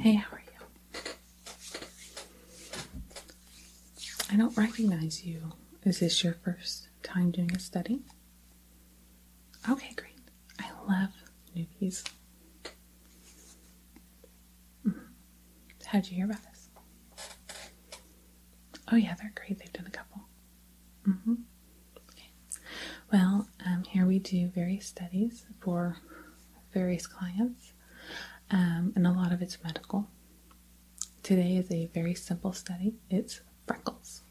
Hey, how are you? I don't recognize you. Is this your first time doing a study? Okay, great. I love newbies. Mm-hmm. How'd you hear about this? Oh, yeah, they're great. They've done a couple. -hmm. Well, um, here we do various studies for various clients, um, and a lot of it's medical. Today is a very simple study. It's freckles.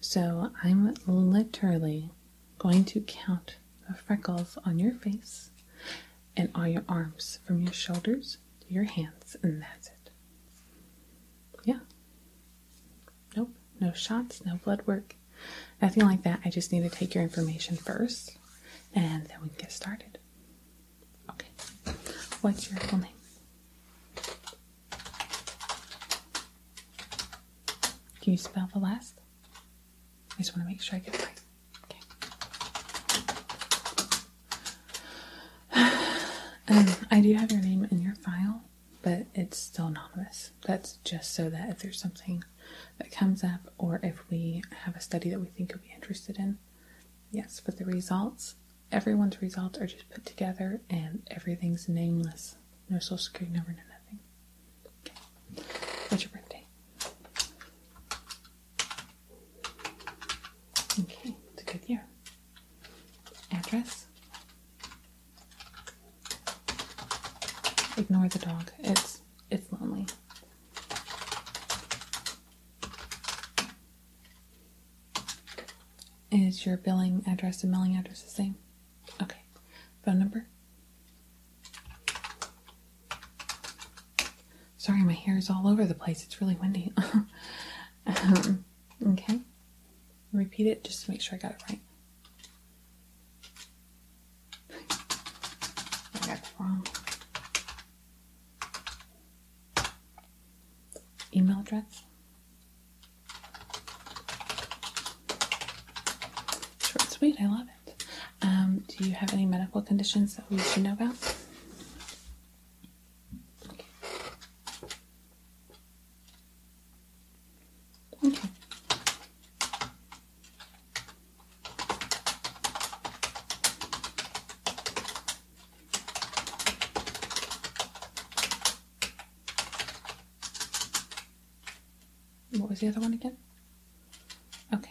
So I'm literally going to count the freckles on your face and all your arms from your shoulders to your hands, and that's it yeah. Nope, no shots, no blood work, nothing like that. I just need to take your information first and then we can get started. Okay, what's your full name? Can you spell the last? I just want to make sure I get it right. Okay. Um, I do have your name in your file, but it's still anonymous. That's just so that if there's something that comes up or if we have a study that we think you'll be interested in. Yes, but the results, everyone's results are just put together and everything's nameless. No social security number, no nothing. What's your birthday? Okay, it's a good year. Address. Ignore the dog. It's it's lonely. Is your billing address and mailing address the same? Okay. Phone number. Sorry, my hair is all over the place. It's really windy. Um, okay. Repeat it just to make sure I got it right. I got it wrong. Email address. Short sweet. I love it. Um, do you have any medical conditions that we should know about? Okay. What was the other one again? Okay.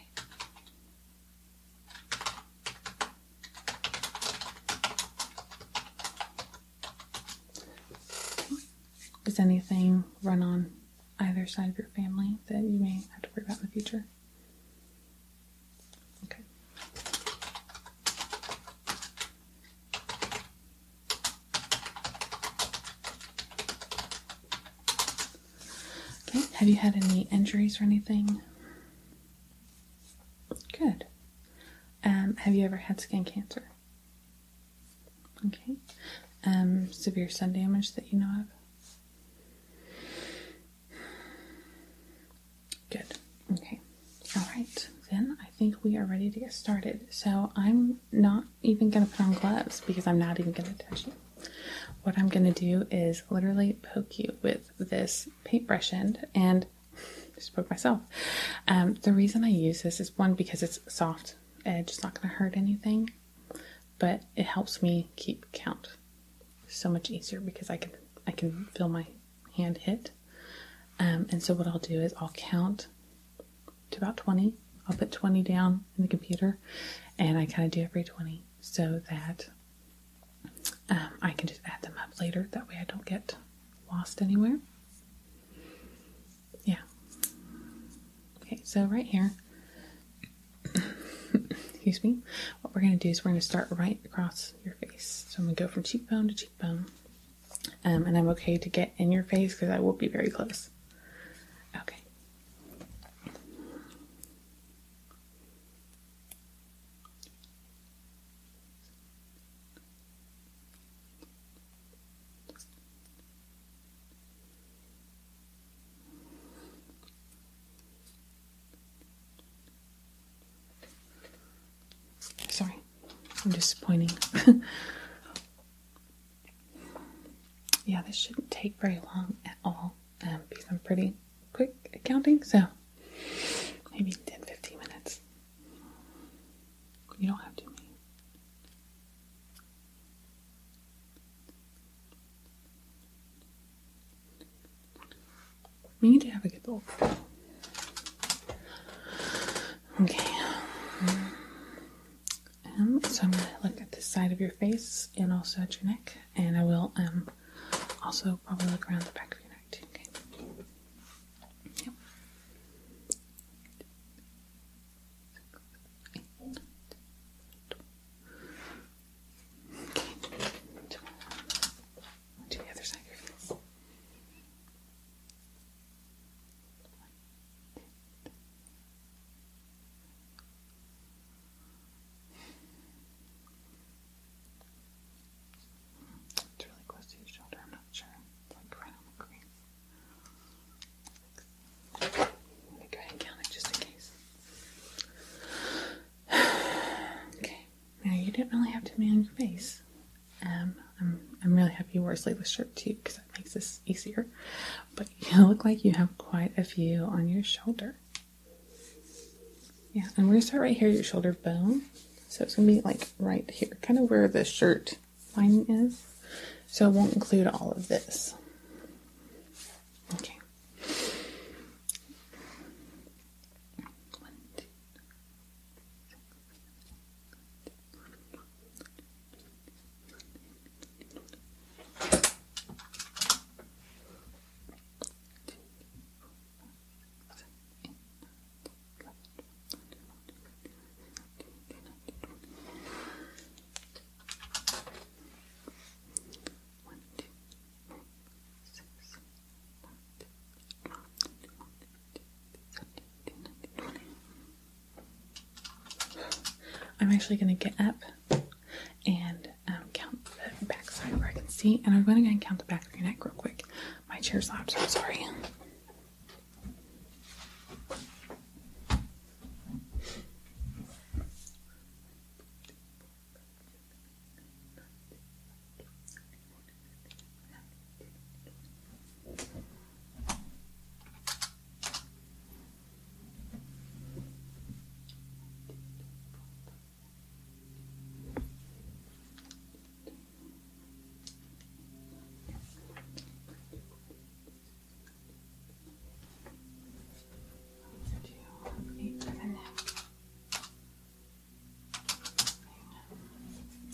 Is anything run on either side of your family that you may have to worry about in the future? Okay. Okay, have you had any injuries or anything? Good. Um, have you ever had skin cancer? Okay. Um, severe sun damage that you know of? Good. Okay. All right. Then I think we are ready to get started. So I'm not even going to put on gloves because I'm not even going to touch you. What I'm going to do is literally poke you with this paintbrush end and just broke myself. Um, the reason I use this is one because it's soft edge, it's not going to hurt anything, but it helps me keep count so much easier because I can I can feel my hand hit. Um, and so what I'll do is I'll count to about 20. I'll put 20 down in the computer and I kind of do every 20 so that um, I can just add them up later, that way I don't get lost anywhere. Yeah. Okay, so right here, excuse me, what we're going to do is we're going to start right across your face. So I'm going to go from cheekbone to cheekbone. Um, and I'm okay to get in your face because I will be very close. Okay. Sorry, I'm just pointing. yeah, this shouldn't take very long at all um, because i pretty quick accounting, so maybe 10 15 minutes. You don't have to. We need to have a good look. Okay. Um, so I'm going to look at the side of your face and also at your neck and I will um also probably look around the back of your neck too. Okay. Yep. Okay. To the other side of your face. It's really close to your shoulder, I'm not sure. It's like right on the crease. Let me go ahead count it just in case. okay. Now you didn't really have to on your face. Um, I'm, I'm really happy you wore a sleeveless shirt too because that makes this easier. But you look like you have quite a few on your shoulder. Yeah, and we're gonna start right here, your shoulder bone. So it's gonna be like right here, kind of where the shirt lining is. So it won't include all of this. Okay. I'm actually going to get up and um, count the backside where I can see. And I'm going to go and count the back of your neck real quick. My chair slaps, I'm sorry.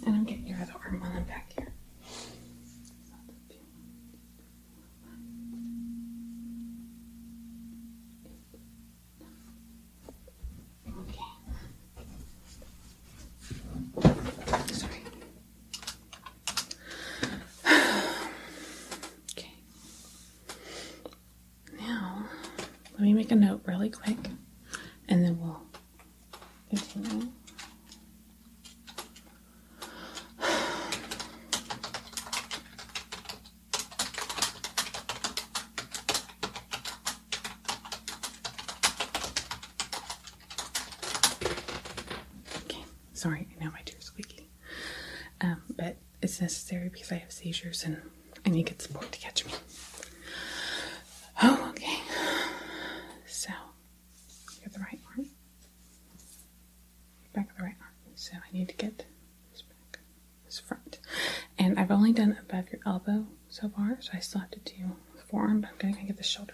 And I'm getting your other arm I'm back here. Okay. Sorry. okay. Now, let me make a note really quick and then we'll continue. Okay, sorry, now my chair's squeaky. Um, but it's necessary because I have seizures and I need good support to catch me. Oh, okay. So, got the right arm. Back of the right arm. So I need to get this back. This front. And I've only done above your elbow so far, so I still have to do the forearm, but I'm going to get the shoulder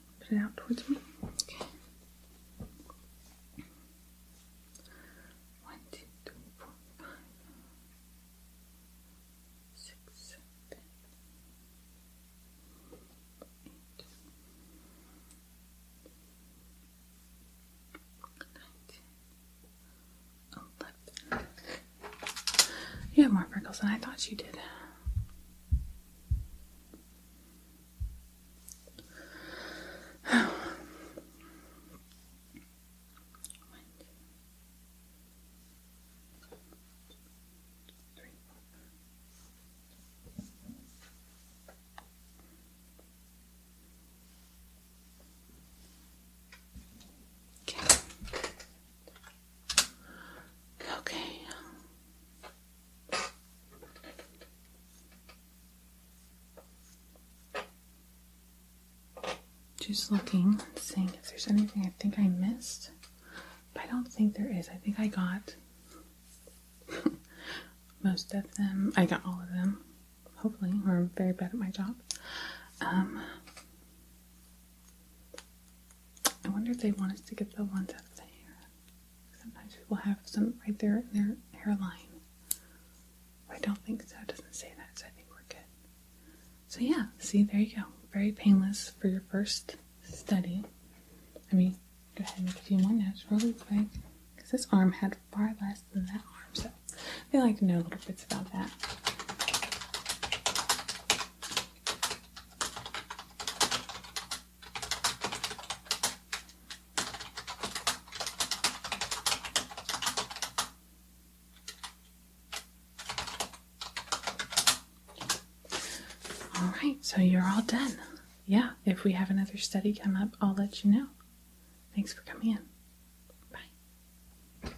put it out towards me. Okay. One, two, three, four, five, six, seven, eight, nine, ten, eleven. You have more freckles than I thought you did. One, two, three, Okay. Okay. Just looking, seeing if there's anything I think I missed. I don't think there is. I think I got most of them. I got all of them, hopefully, or I'm very bad at my job. Um, I wonder if they want us to get the ones out there. Sometimes people have some right there in their hairline. I don't think so. It doesn't say that, so I think we're good. So yeah, see, there you go. Very painless for your first study. I mean, go ahead and make a few more notes really quick because this arm had far less than that arm, so I'd feel like to know little bits about that. All right, so you're all done. Yeah, if we have another study come up, I'll let you know. Thanks for coming in. Bye.